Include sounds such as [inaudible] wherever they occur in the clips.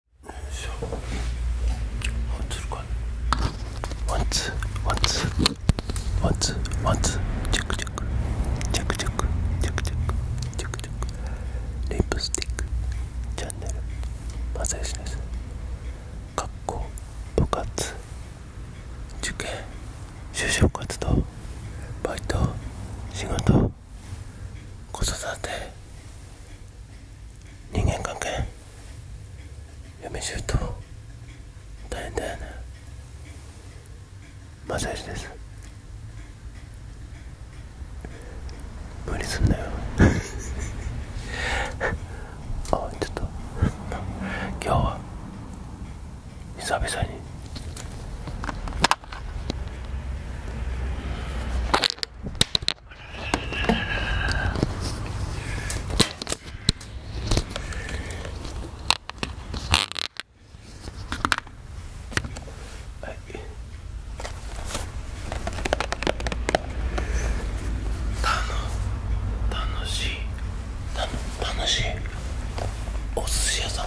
んるか。リップスティックチャンネルマサヨシです学校部活受験就職活動バイト仕事子育て人間関係嫁姑大変だよねマサイチです無理すんなよ [laughs] あちょっと今日は久々に楽楽ししい。い。お寿司屋さん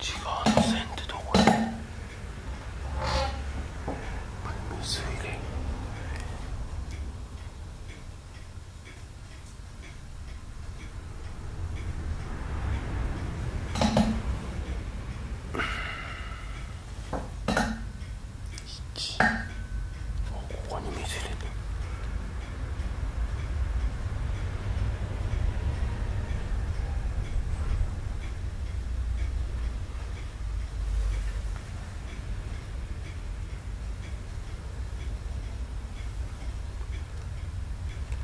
違う線でどこへむずいでん。1あっここに見せれる。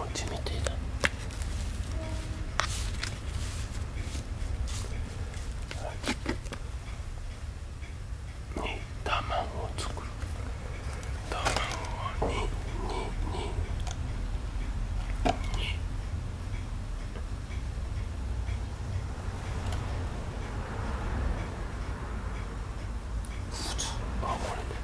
餅みてえだに卵を作る卵をににににあこれ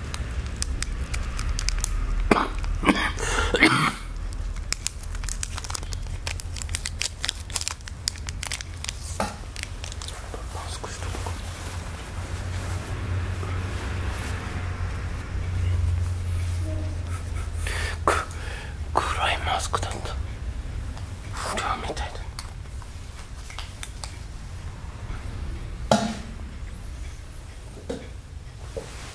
マスクしとこうかく暗いマスクだったフラーみたいだね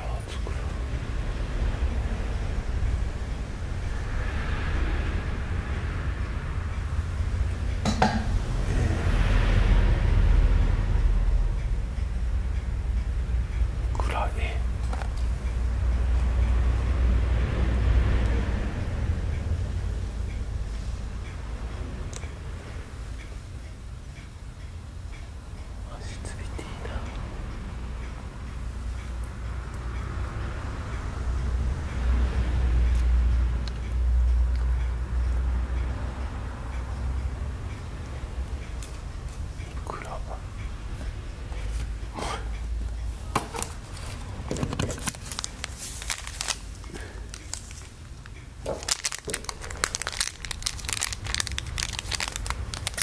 暗い。アシツビティだいく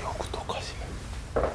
よく溶かします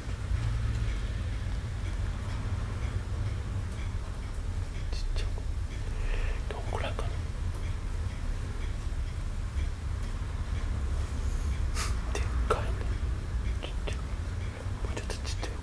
ちっちゃいのどこらかなでっかいのちっちゃいのもうちょっとちっちゃいのうん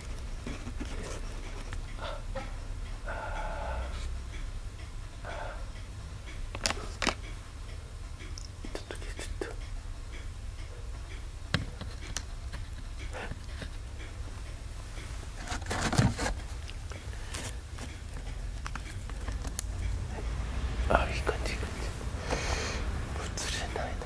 あいい感じいい感じ映れないな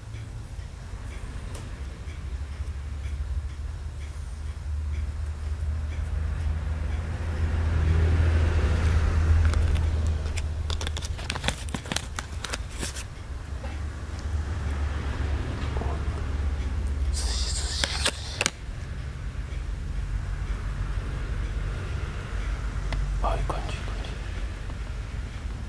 ああいう感じ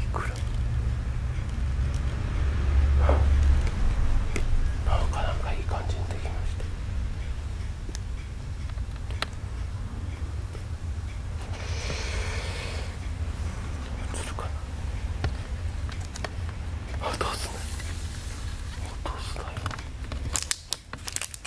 いいくななんか感じにできました。す落とすなよ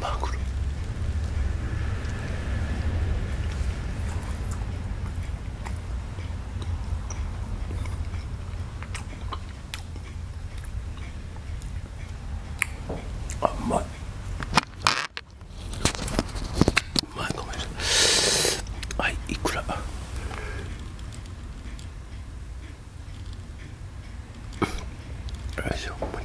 マグロあ、まい。い、いごめんはくら。いしょもうい